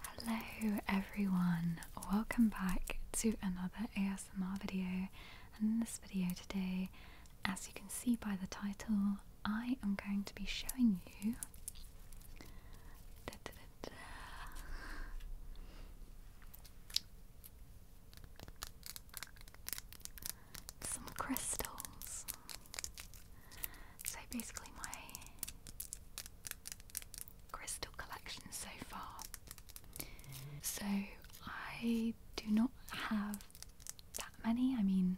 Hello everyone, welcome back to another ASMR video and in this video today, as you can see by the title, I am going to be showing you some crystals. So basically, my crystal collection so far. So I do not have that many. I mean,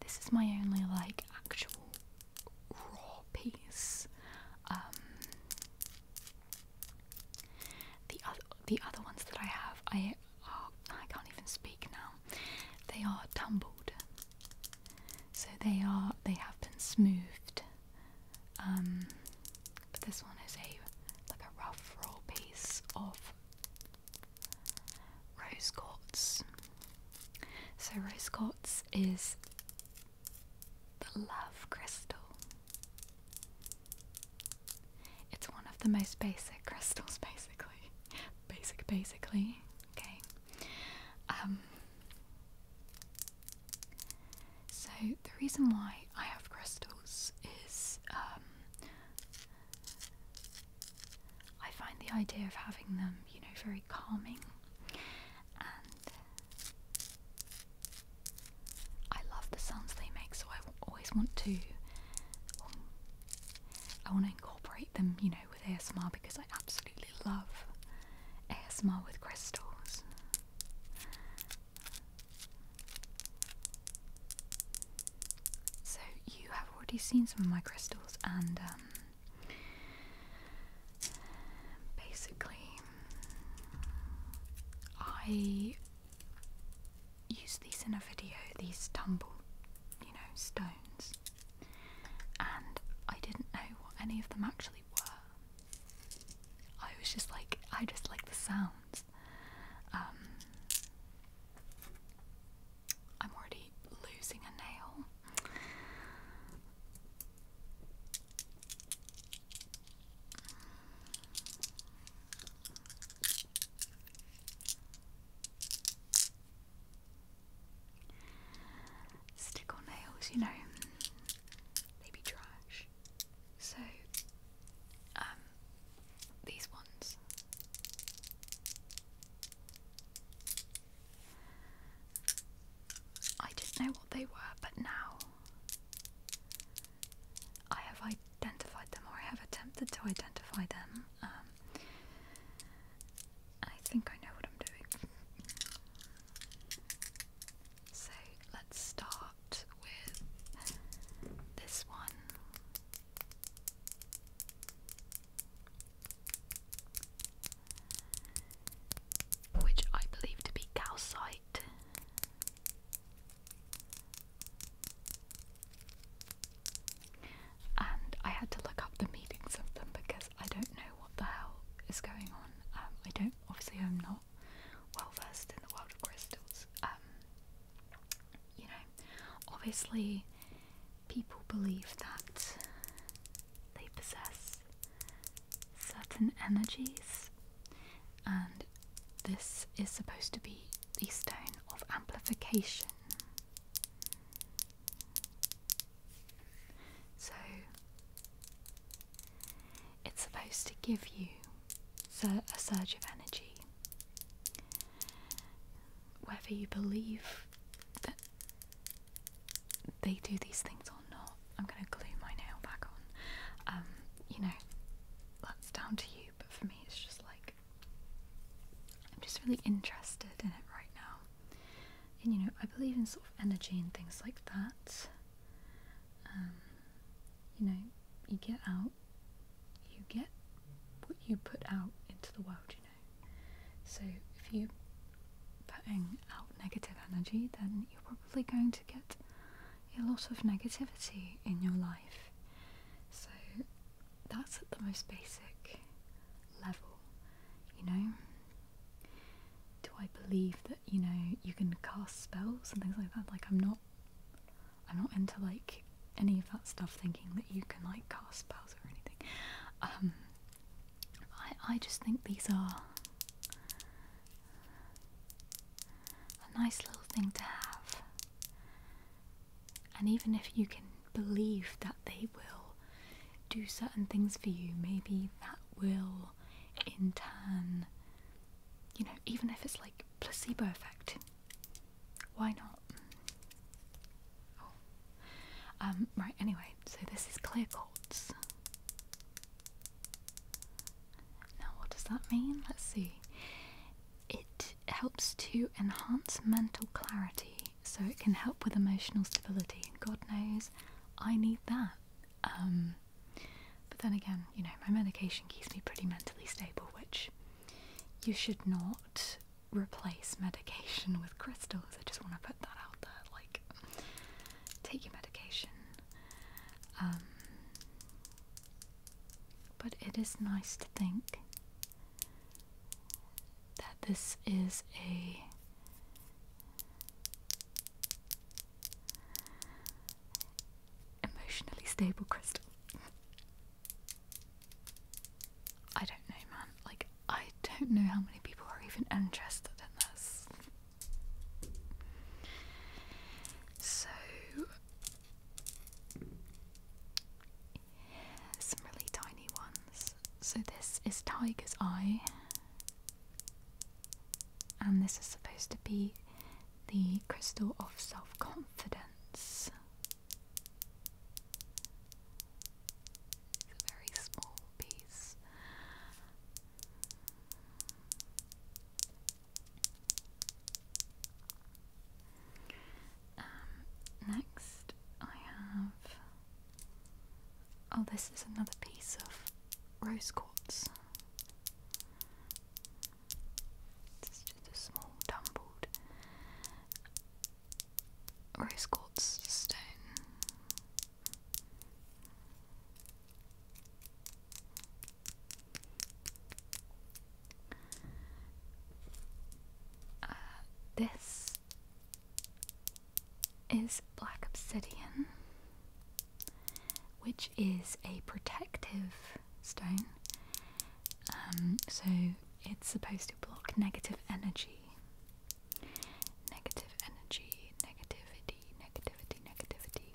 this is my only like actual raw piece. Um, the other the other ones that I have, I they oh, are, I can't even speak now, they are tumbled. So they are, they have been smoothed. Um, but this one is a, like a rough raw piece of rose quartz. So rose quartz is the love crystal. It's one of the most basic crystals, basically. Basic, basically. Okay. Um, so, the reason why I have crystals is um, I find the idea of having them, you know, very calming. And I love the sounds they make, so I always want to I want to incorporate them, you know, with ASMR because I absolutely love ASMR with crystals. So you have already seen some of my crystals and um, basically I use these in a video, these tumble, you know, stones. And I didn't know what any of them actually were. I was just like, I just like the sounds. Um, I'm already losing a nail. Stick on nails, you know, they be trash. So, um, these ones. I didn't know what they were, but now I have identified them, or I have attempted to identify them. Um, I think I know what I'm doing. So let's start with this one. Which I believe to be calcite. And I had to look up the meanings of them because I don't know what the hell is going on. Um, I don't, obviously, I'm not well versed in the world of crystals. Um, you know, obviously, people believe that they possess certain energies and this is supposed to be the stone of amplification. So it's supposed to give you a surge of energy. Whether you believe that they do these things or not, I'm going to glue my nail back on. Um, you know, that's down to you, but for me, it's just like I'm just really interested in it right now. And you know, I believe in sort of energy and things like that. Um, you know, you get out, you get what you put out into the world, you know. So if you putting out negative energy, then you're probably going to get a lot of negativity in your life. So that's at the most basic level, you know? Do I believe that, you know, you can cast spells and things like that? Like I'm not I'm not into like any of that stuff thinking that you can like cast spells or anything. Um I I just think these are a nice little thing to have. And even if you can believe that they will do certain things for you, maybe that will in turn, you know, even if it's like placebo effect, why not? Oh, um, right, anyway, so this is clear quartz. Now, what does that mean? Let's see. It helps to enhance mental clarity, so it can help with emotional stability. God knows, I need that. Um, but then again, you know, my medication keeps me pretty mentally stable, which you should not replace medication with crystals. I just want to put that out there. Like, take your medication. Um, but it is nice to think that this is a emotionally stable crystal. I don't know, man. Like, I don't know how many people are even interested in this. So, some really tiny ones. So, this is Tiger's Eye, and this is supposed to be the crystal of self confidence. It's a very small piece. Um, next, I have. Oh, this is another piece of rose quartz. It's just a small tumbled rose quartz stone. Uh, this is black obsidian, which is a protective stone. Um, so it's supposed to block negative energy. Negative energy, negativity negativity, negativity,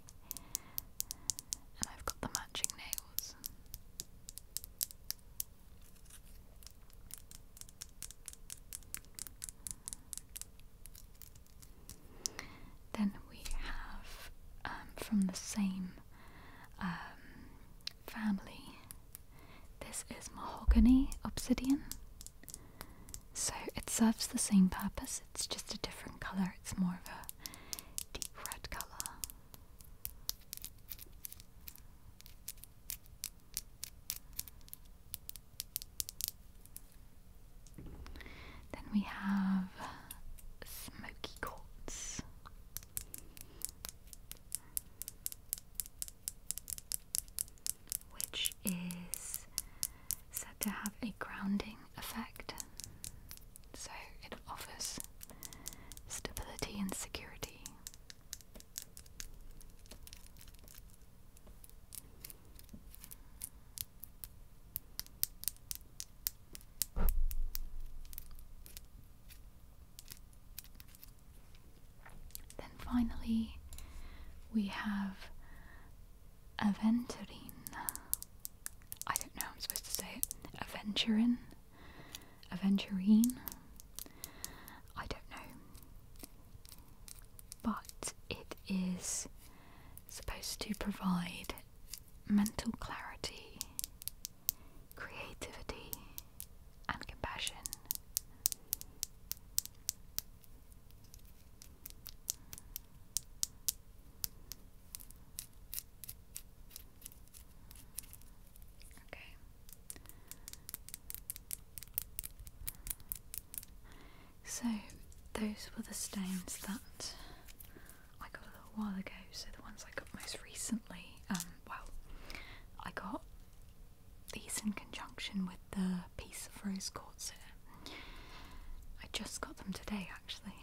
And I've got the matching nails. Then we have um, from the same um, family. This is mahogany obsidian. So it serves the same purpose, it's just a different colour, it's more of a deep red colour. Then we have smoky quartz. Which is said to have a grounding effect. So it offers stability and security. Then finally, we have Aventurine. I don't know I'm supposed to say it. Aventurine? Aventurine? I don't know. But it is supposed to provide mental clarity, creativity, and compassion. Okay. So those were the stones that I got a little while ago. So the ones I got most recently, um, well, I got these in conjunction with the piece of rose quartz I just got them today actually.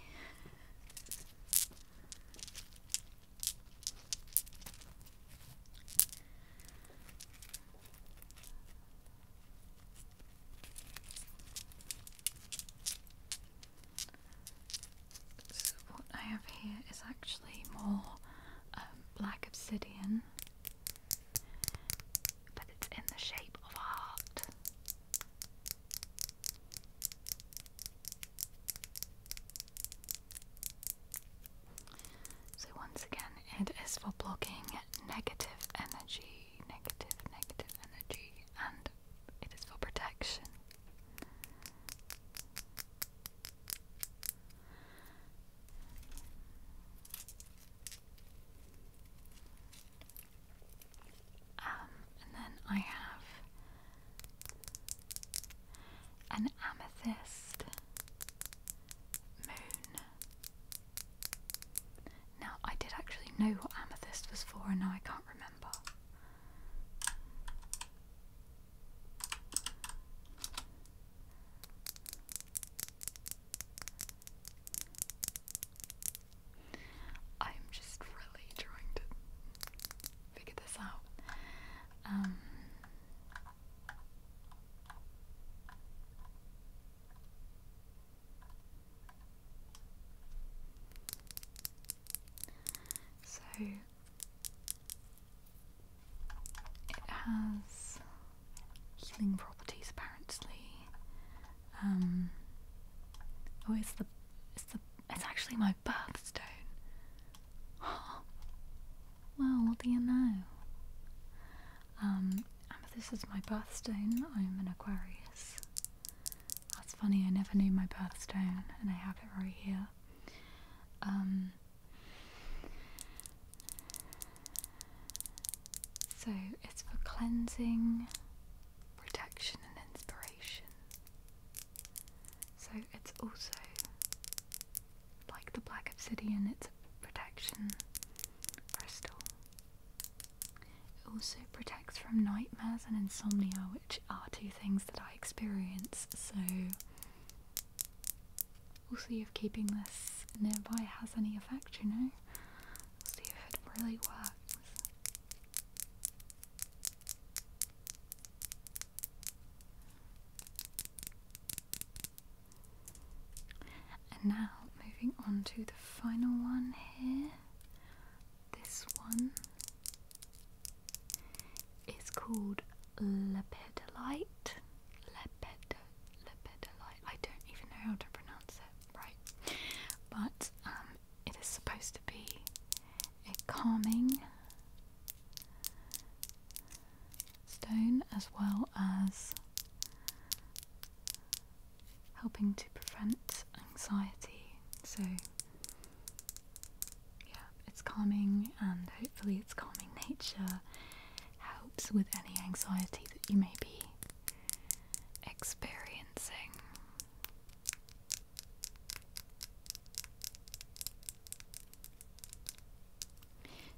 So what I have here is actually more um, black obsidian but it's in the shape of a heart. So, once again, it is for blocking negative energy, negative, negative energy, and it is for protection. Um, and then I have an amethyst moon. Now, I did actually know what amethyst was for, and now I can't remember. I'm just really trying to figure this out. Um, so it has healing properties apparently. Um, oh, it's the it's the it's actually my birthstone. well, what do you know? Um, this is my birthstone. I'm an Aquarius. That's funny. I never knew my birthstone, and I have it right here. Um, so it's for cleansing, protection, and inspiration. So it's also like the black obsidian, it's a protection crystal. It also protects from nightmares and insomnia, which are two things that I experience, so We'll see if keeping this nearby has any effect, you know? We'll see if it really works. And now, moving on to the final one here. This one is called lepidolite. Lepidolite lepidolite. I don't even know how to pronounce it right, but um, it is supposed to be a calming stone as well as helping to prevent anxiety. So, yeah, it's calming and hopefully it's calming nature helps with any anxiety that you may be experiencing.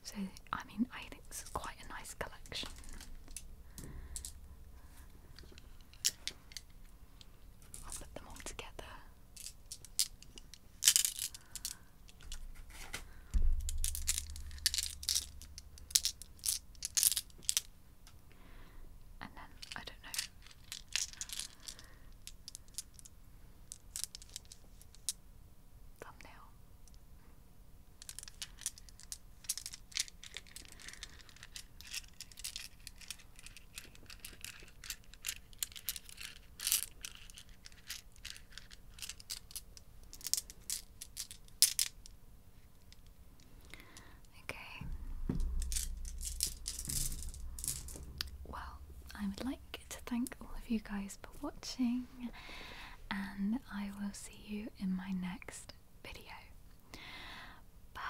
So, I mean, I think this quite a nice collection. I'll put them all together. And then I don't know. Thumbnail. Okay. Well, I would like to thank all of you guys for watching, and I will see you in my next video. Bye.